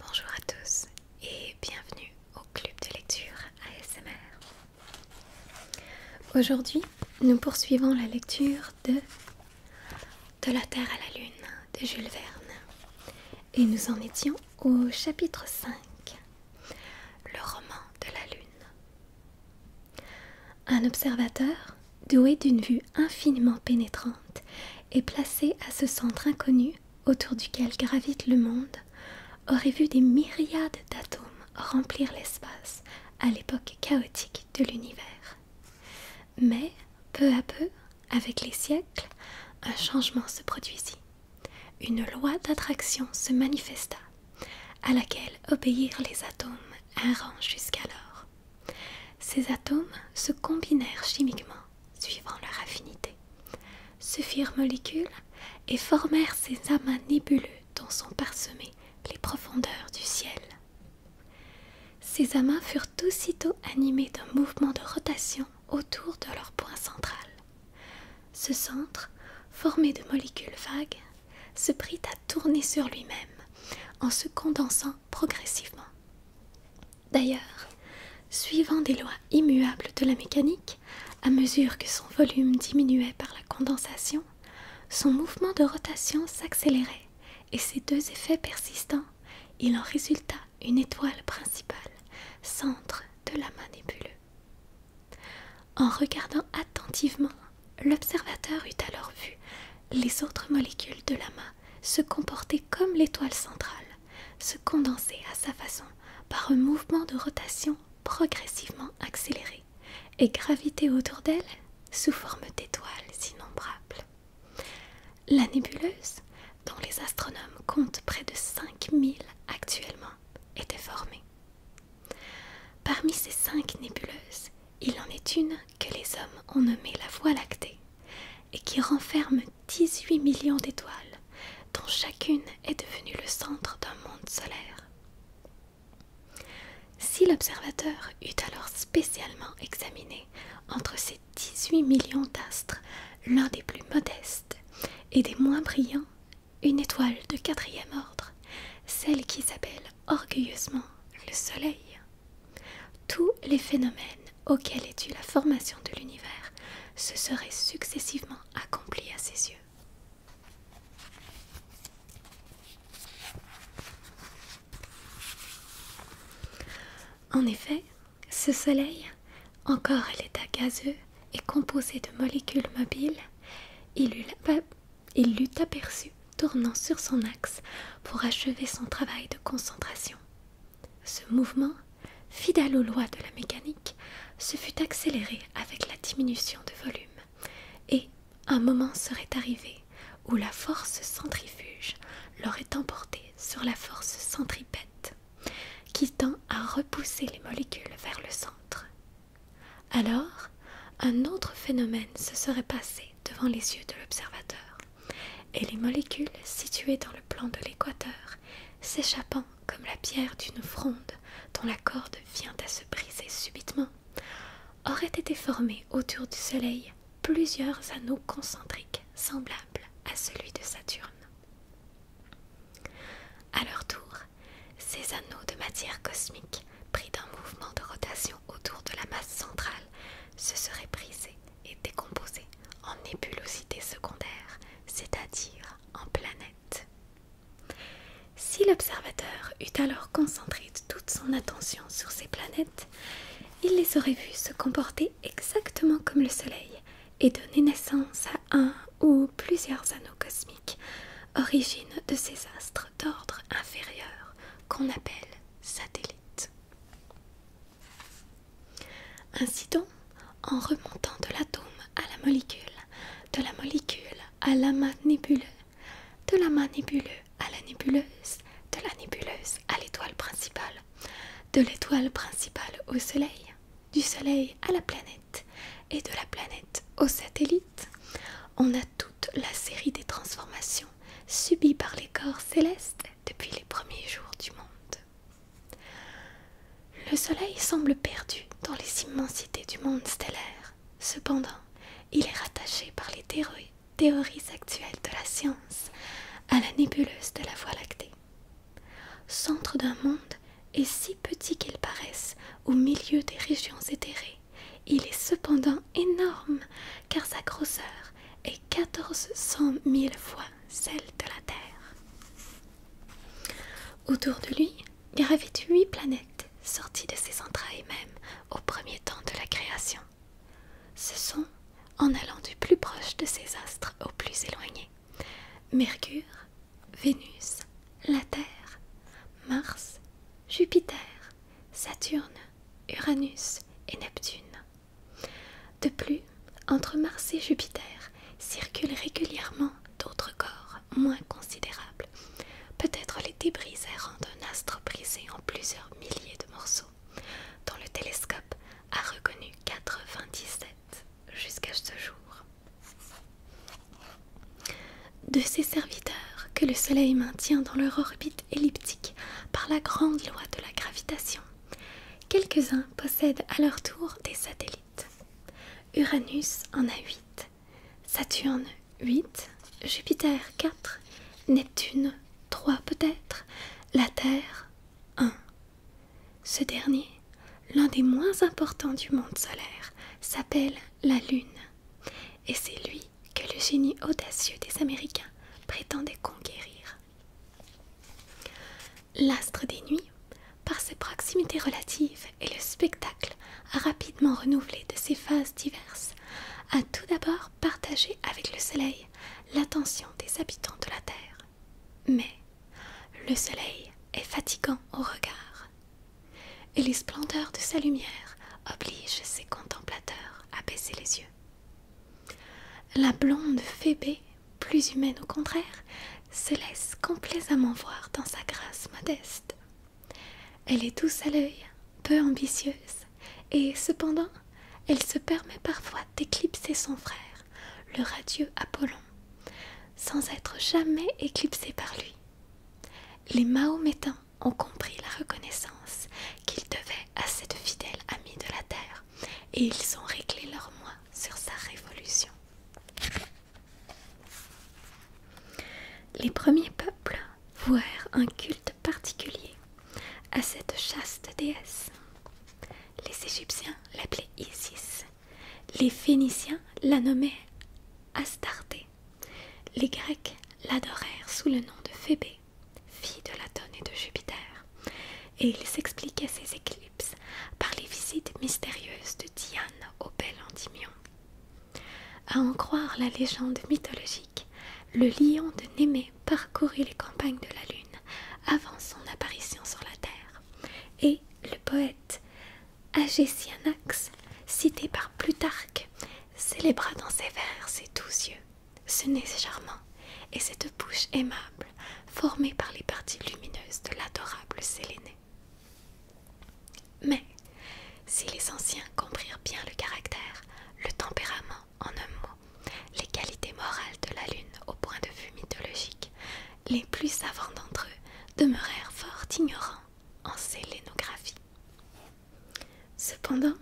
Bonjour à tous et bienvenue au club de lecture ASMR. Aujourd'hui, nous poursuivons la lecture de De la Terre à la Lune de Jules Verne. Et nous en étions au chapitre 5, le roman de la Lune. Un observateur, doué d'une vue infiniment pénétrante, est placé à ce centre inconnu autour duquel gravite le monde, aurait vu des myriades d'atomes remplir l'espace à l'époque chaotique de l'univers. Mais, peu à peu, avec les siècles, un changement se produisit. Une loi d'attraction se manifesta, à laquelle obéirent les atomes errants jusqu'alors. Ces atomes se combinèrent chimiquement suivant leur affinité, se firent molécules et formèrent ces amas nébuleux dont sont parsemées les profondeurs du ciel. Ces amas furent aussitôt animés d'un mouvement de rotation autour de leur point central. Ce centre, formé de molécules vagues, se prit à tourner sur lui-même en se condensant progressivement. D'ailleurs, suivant des lois immuables de la mécanique, à mesure que son volume diminuait par la condensation, son mouvement de rotation s'accélérait, et ces deux effets persistants, il en résulta une étoile principale, centre de la nébuleux. En regardant attentivement, l'observateur eut alors vu les autres molécules de l'amas se comporter comme l'étoile centrale, se condenser à sa façon par un mouvement de rotation progressivement accéléré et graviter autour d'elle sous forme d'étoiles innombrables. La nébuleuse, dont les astronomes comptent près de 5000 actuellement, était formée. Parmi ces cinq nébuleuses, il en est une que les hommes ont nommée la Voie lactée, et qui renferme dix-huit millions d'étoiles dont chacune est devenue le centre d'un monde solaire. Si l'observateur eût alors spécialement examiné entre ces dix-huit millions d'astres l'un des plus modestes et des moins brillants, une étoile de quatrième ordre, celle qui s'appelle orgueilleusement le Soleil, tous les phénomènes auxquels est due la formation de l'univers se seraient successivement accomplis à ses yeux. En effet, ce Soleil, encore à l'état gazeux et composé de molécules mobiles, il l'eût aperçu tournant sur son axe pour achever son travail de concentration ce mouvement, fidèle aux lois de la mécanique, se fut accéléré avec la diminution de volume, et un moment serait arrivé où la force centrifuge l'aurait emporté sur la force centripète, qui tend à repousser les molécules vers le centre. Alors, un autre phénomène se serait passé devant les yeux de l'observateur, et les molécules situées dans le plan de l'équateur s'échappant comme la pierre d'une fronde dont la corde vient à se briser subitement, auraient été formées autour du Soleil plusieurs anneaux concentriques semblables à celui de Saturne. À leur tour, ces anneaux de matière cosmique, pris d'un mouvement de rotation autour de la masse centrale, se seraient brisés est décomposée en nébulosité secondaires, c'est-à-dire en planètes. Si l'observateur eût alors concentré toute son attention sur ces planètes, il les aurait vues se comporter exactement comme le Soleil et donner naissance à un ou plusieurs anneaux cosmiques, origine de ces astres d'ordre inférieur qu'on appelle satellites. Ainsi donc, en remontant de l'atome à la molécule, de la molécule à l'amas nébuleux, de l'amas nébuleux à la nébuleuse, de la nébuleuse à l'étoile principale, de l'étoile principale au Soleil, du Soleil à la planète et de la planète au satellite, on a toute la série des transformations subies par les corps célestes depuis les premiers jours du monde. Le Soleil semble perdu dans les immensités du monde stellaire. Cependant, il est rattaché par les théories, théories actuelles de la science à la nébuleuse de la Voie lactée. Centre d'un monde et si petit qu'il paraisse au milieu des régions éthérées, il est cependant énorme car sa grosseur est 1400 000 fois celle de la Terre. Autour de lui gravitent huit planètes sorties de ses entrailles même au premier temps de la création. Ce sont, en allant du plus proche de ces astres au plus éloigné, Mercure, Vénus, la Terre, Mars, Jupiter, Saturne, Uranus et Neptune. De plus, entre Mars et Jupiter circulent régulièrement d'autres corps moins considérables, peut-être les débris errants d'un astre brisé en plusieurs milliers de morceaux, dont le télescope a reconnu 97 jusqu'à ce jour. De ces serviteurs que le Soleil maintient dans leur orbite, elliptique par la grande loi de la gravitation. Quelques-uns possèdent à leur tour des satellites. Uranus en a 8, Saturne 8, Jupiter 4, Neptune 3 peut-être, la Terre 1. Ce dernier, l'un des moins importants du monde solaire, s'appelle la Lune, et c'est lui que le génie audacieux des Américains prétendait conquérir. L'astre des nuits, par ses proximités relatives et le spectacle rapidement renouvelé de ses phases diverses, a tout d'abord partagé avec le soleil l'attention des habitants de la Terre. Mais le soleil est fatigant au regard, et les splendeurs de sa lumière obligent ses contemplateurs à baisser les yeux. La blonde Phébé, plus humaine au contraire, se laisse complaisamment voir dans sa grâce modeste. Elle est douce à l'œil, peu ambitieuse, et cependant, elle se permet parfois d'éclipser son frère, le radieux Apollon, sans être jamais éclipsée par lui. Les Mahométans ont compris la reconnaissance qu'ils devaient à cette fidèle amie de la terre et ils ont réglé leur moi sur sa révolution. Les premiers peuples vouèrent un culte particulier à cette chaste déesse. Les Égyptiens l'appelaient Isis, les Phéniciens la nommaient Astarté, les Grecs l'adorèrent sous le nom de Phébé fille de Latone et de Jupiter, et il s'expliquait ses éclipses par les visites mystérieuses de Diane au bel Antimion. À en croire la légende mythologique, le lion de Némée parcourut les campagnes de la Lune avant son apparition sur la Terre, et le poète Agésianax, cité par Plutarque, célébra dans ses vers ses doux yeux. Ce nez charmant et cette bouche aimable formée par les parties lumineuses de l'adorable Sélénée. Mais, si les anciens comprirent bien le caractère, le tempérament, en un mot, les qualités morales de la Lune au point de vue mythologique, les plus savants d'entre eux demeurèrent fort ignorants en sélénographie. Cependant,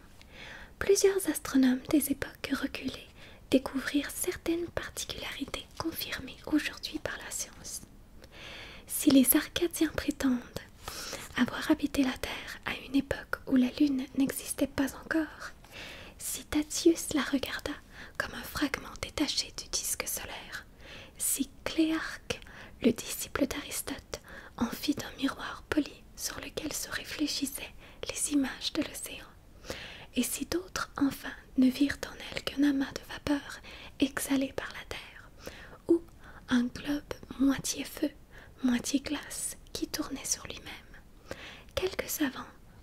plusieurs astronomes des époques reculées découvrirent certaines particularités confirmées aujourd'hui par la science. Si les Arcadiens prétendent avoir habité la Terre à une époque où la Lune n'existait pas encore, si Tatius la regarda comme un fragment détaché du disque solaire, si Cléarque, le disciple d'Aristote, en fit un miroir poli sur lequel se réfléchissaient les images de l'océan. Et si d'autres enfin ne virent en elle qu'un amas de vapeur exhalé par la terre, ou un globe moitié feu, moitié glace qui tournait sur lui-même, quelques savants,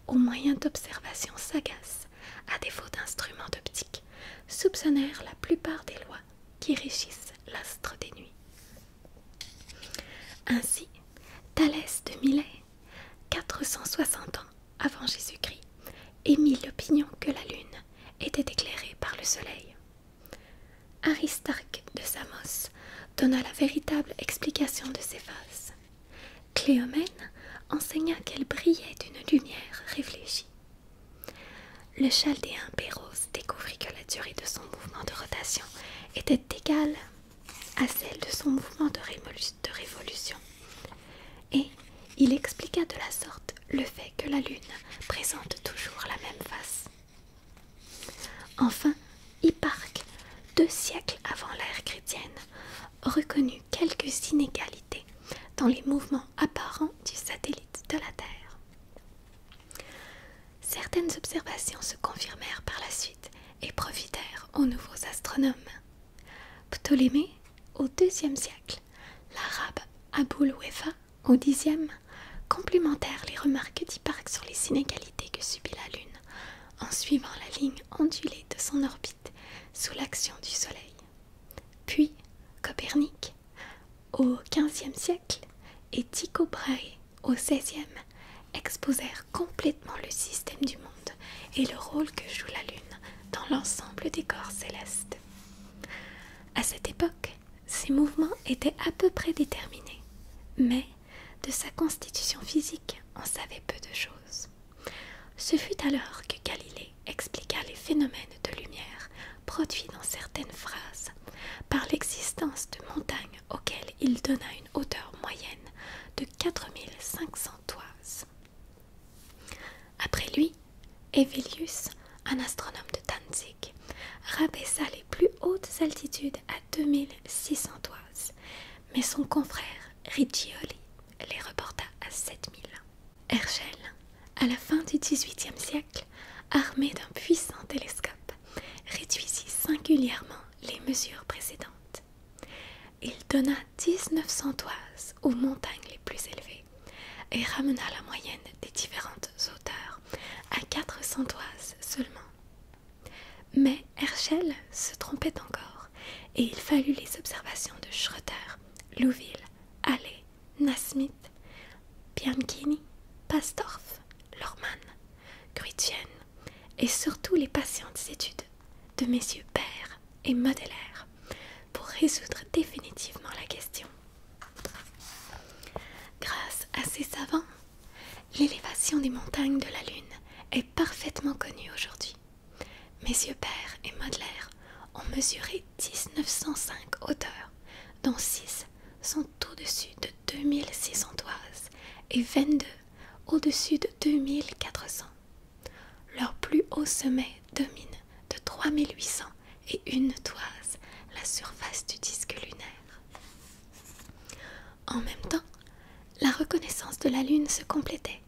au moyen d'observations sagaces, à défaut d'instruments d'optique, soupçonnèrent la plupart des lois qui régissent l'astre des nuits. Ainsi, Thalès de Milet, 460 ans avant Jésus-Christ, émit l'opinion que la Lune était éclairée par le Soleil. Aristarque de Samos donna la véritable explication de ces phases. Cléomène enseigna qu'elle brillait d'une lumière réfléchie. Le chaldéen découvrit que la durée de son mouvement de rotation était égale à celle de son mouvement de, de révolution. Et il expliqua de la sorte le fait que la Lune présente toujours la même face. Enfin, Hipparque, deux siècles avant l'ère chrétienne, reconnut quelques inégalités dans les mouvements apparents du satellite de la Terre. Certaines observations se confirmèrent par la suite et profitèrent aux nouveaux astronomes. Ptolémée au deuxième siècle, l'arabe Aboul Wefa au Xe, complémentèrent les remarques d'Hipparque sur les inégalités que subit la Lune en suivant la ligne ondulée de son orbite sous l'action du Soleil. Puis Copernic au XVe siècle et Tycho Brahe au XVIe exposèrent complètement le système du monde et le rôle que joue la Lune dans l'ensemble des corps célestes. À cette époque, ses mouvements étaient à peu près déterminés, mais de sa constitution physique, on savait peu de choses. Ce fut alors que Galilée expliqua les phénomènes de lumière produits dans certaines phrases par l'existence de montagnes auxquelles il donna une hauteur moyenne de 4500 toises. Après lui, Evilius, un astronome de Danzig, rabaissa les plus hautes altitudes à 2600 toises, mais son confrère Riccioli les reporta à 7000. Herschel, à la fin du XVIIIe siècle, armé d'un puissant télescope, réduisit singulièrement les mesures précédentes. Il donna 1900 toises aux montagnes les plus élevées et ramena la moyenne des différentes hauteurs à 400 toises seulement. Mais Herschel se trompait encore et il fallut les observations de Schröter, Louville, Halley, Nasmin. Bianchini, Pastorf, Lormann, Grütjen et surtout les patientes études de messieurs Baer et Modelaire pour résoudre définitivement la question. Grâce à ces savants, l'élévation des montagnes de la Lune est parfaitement connue aujourd'hui. Messieurs Baer et Modelaire ont mesuré 1905 hauteurs, dont 6 sont au-dessus de 2600 toises et 22 au-dessus de 2400. Leur plus haut sommet domine de 3800 et une toise la surface du disque lunaire. En même temps, la reconnaissance de la Lune se complétait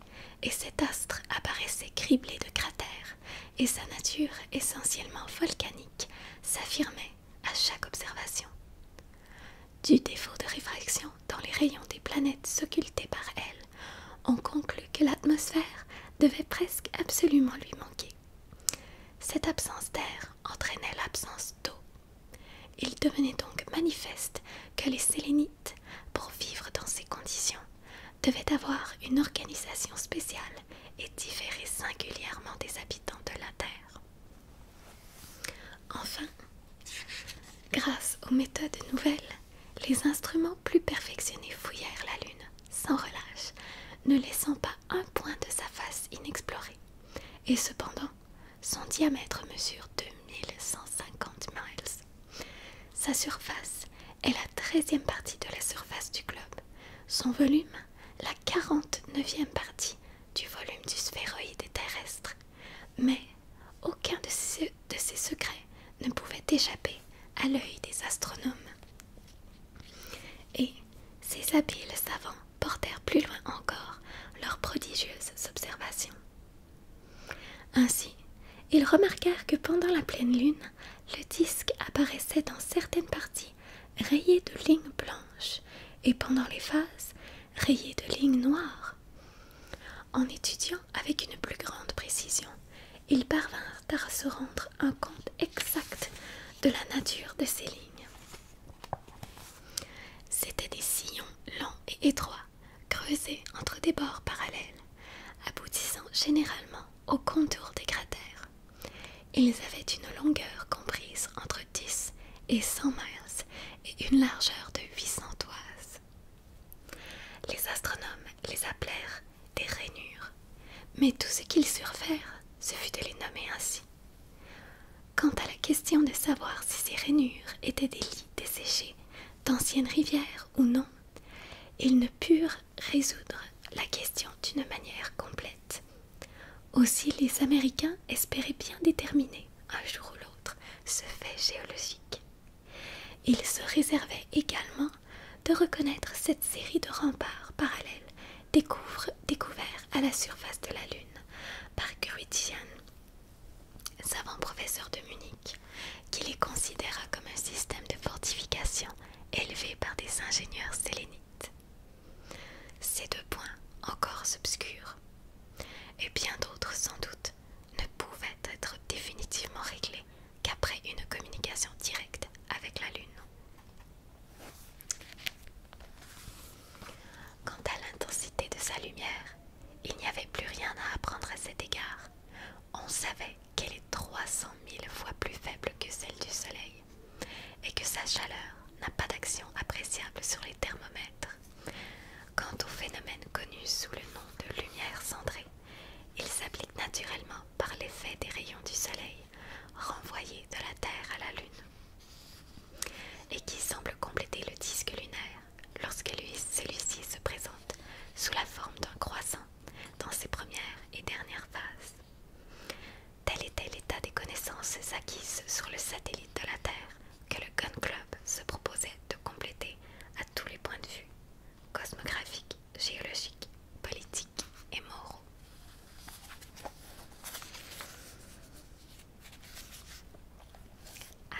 et cet astre apparaissait criblé de cratères et sa nature essentiellement volcanique s'affirmait à chaque observation. Du défaut de réfraction dans les rayons des planètes occultées par elle, on conclut que l'atmosphère devait presque absolument lui manquer. Cette absence d'air entraînait l'absence d'eau. Il devenait donc manifeste que les sélénites, pour vivre dans ces conditions, devaient avoir une organisation spéciale et différer singulièrement des habitants de la Terre. Enfin, grâce aux méthodes nouvelles, les instruments plus perfectionnés fouillèrent la Lune sans relâche, ne laissant pas un point de sa face inexplorée. Et cependant, son diamètre mesure 2150 miles. Sa surface est la treizième partie de la surface du globe. Son volume la quarante-neuvième partie du volume du sphéroïde terrestre, mais aucun de ces, de ces secrets ne pouvait échapper à l'œil des astronomes. Et ces habiles savants portèrent plus loin encore leurs prodigieuses observations. Ainsi, ils remarquèrent que pendant la pleine lune, le disque apparaissait dans certaines parties rayés de lignes blanches et pendant les phases rayés de lignes noires. En étudiant avec une plus grande précision, ils parvinrent à se rendre un compte exact de la nature de ces lignes. C'étaient des sillons longs et étroits, creusés entre des bords parallèles, aboutissant généralement au contour des cratères. Ils avaient une longueur comprise entre dix et cent miles et une largeur de 800 toises. Les astronomes les appelèrent des rainures, mais tout ce qu'ils surfèrent, ce fut de les nommer ainsi. Quant à la question de savoir si ces rainures étaient des lits desséchés d'anciennes rivières ou non, ils ne purent résoudre la question d'une manière complète. Aussi les Américains espéraient bien déterminer, un jour ou l'autre, ce fait géologique. Ils se réservaient également de reconnaître cette série de remparts parallèles découverts à la surface de la Lune par Grützian, savant professeur de Munich, qui les considéra comme un système de fortification élevé par des ingénieurs sélénites. Ces deux points, encore obscurs, et bien d'autres sans doute, ne pouvaient être définitivement réglés qu'après une communication directe avec la Lune. Quant à l'intensité de sa lumière, il n'y avait plus rien à apprendre à cet égard. On savait qu'elle est 300 000 fois plus faible que celle du Soleil et que sa chaleur n'a pas d'action appréciable sur les thermomètres. Quant au phénomène connu sous le nom de lumière cendrée, il s'applique naturellement par l'effet des rayons du soleil renvoyés de la Terre à la Lune et qui semble compléter le disque lunaire lorsque celui-ci se présente sous la forme d'un croissant dans ses premières et dernières phases. Tel était l'état des connaissances acquises sur le satellite de la Terre que le Gun Club se proposait de compléter à tous les points de vue, cosmographiques, géologiques, politiques et moraux.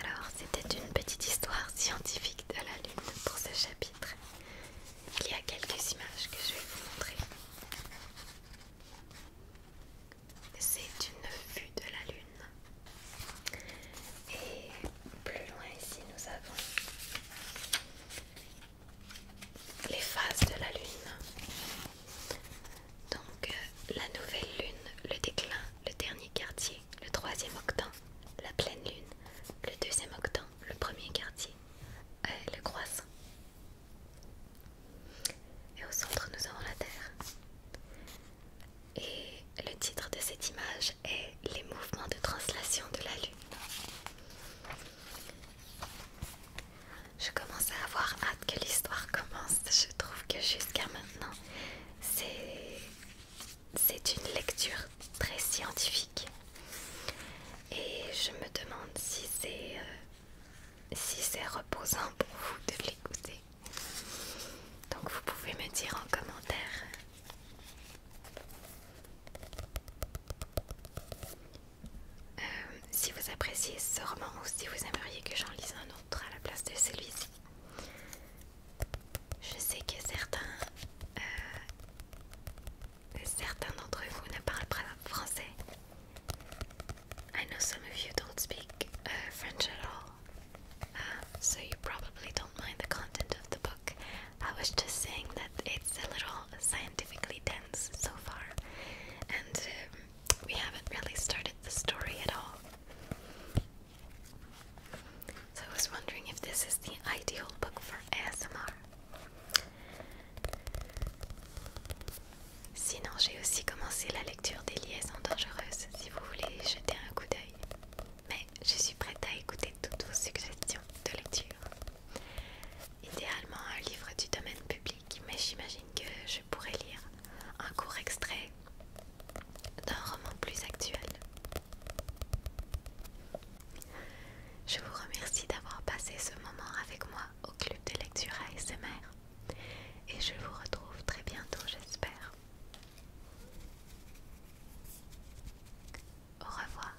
Alors, c'était une petite histoire scientifique de la Lune pour ce chapitre il y a quelques images que je vais vous montrer. C'est une vue de la Lune. Et plus loin ici, nous avons les phases de la Lune. Donc euh, la nouvelle Lune, le déclin, le dernier quartier, le troisième octant, la pleine Lune, le deuxième octant, le premier quartier, elle le croissant. Et au centre, nous avons la Terre. Et le titre de cette image est Les mouvements de translation de la Lune. Je commence à avoir hâte que l'histoire commence. Je trouve que jusqu'à maintenant, c'est une lecture très scientifique et je me demande si c'est euh, si c'est reposant pour vous de l'écouter. Donc vous pouvez me dire en commentaire euh, si vous appréciez ce roman ou si vous aimeriez que j'en lise un autre à la place de celui-ci. Je sais que certains euh, Certains I know some of you don't speak uh, French at all, uh, so you probably don't mind the content of the book. I was just saying that it's a little scientifically dense so far, and um, we haven't really started the story at all. So I was wondering if this is the ideal book for ASMR. Sinon, j'ai aussi commencé la lecture des liaisons dangereuses si vous voulez jeter un coup d'œil. Mais je suis prête à écouter toutes vos suggestions de lecture. Idéalement, un livre du domaine public, mais j'imagine que je pourrais lire un court extrait d'un roman plus actuel. Je vous remercie d'avoir passé ce moment avec moi au club de lecture ASMR et je vous retrouve très bientôt j'espère. Au revoir.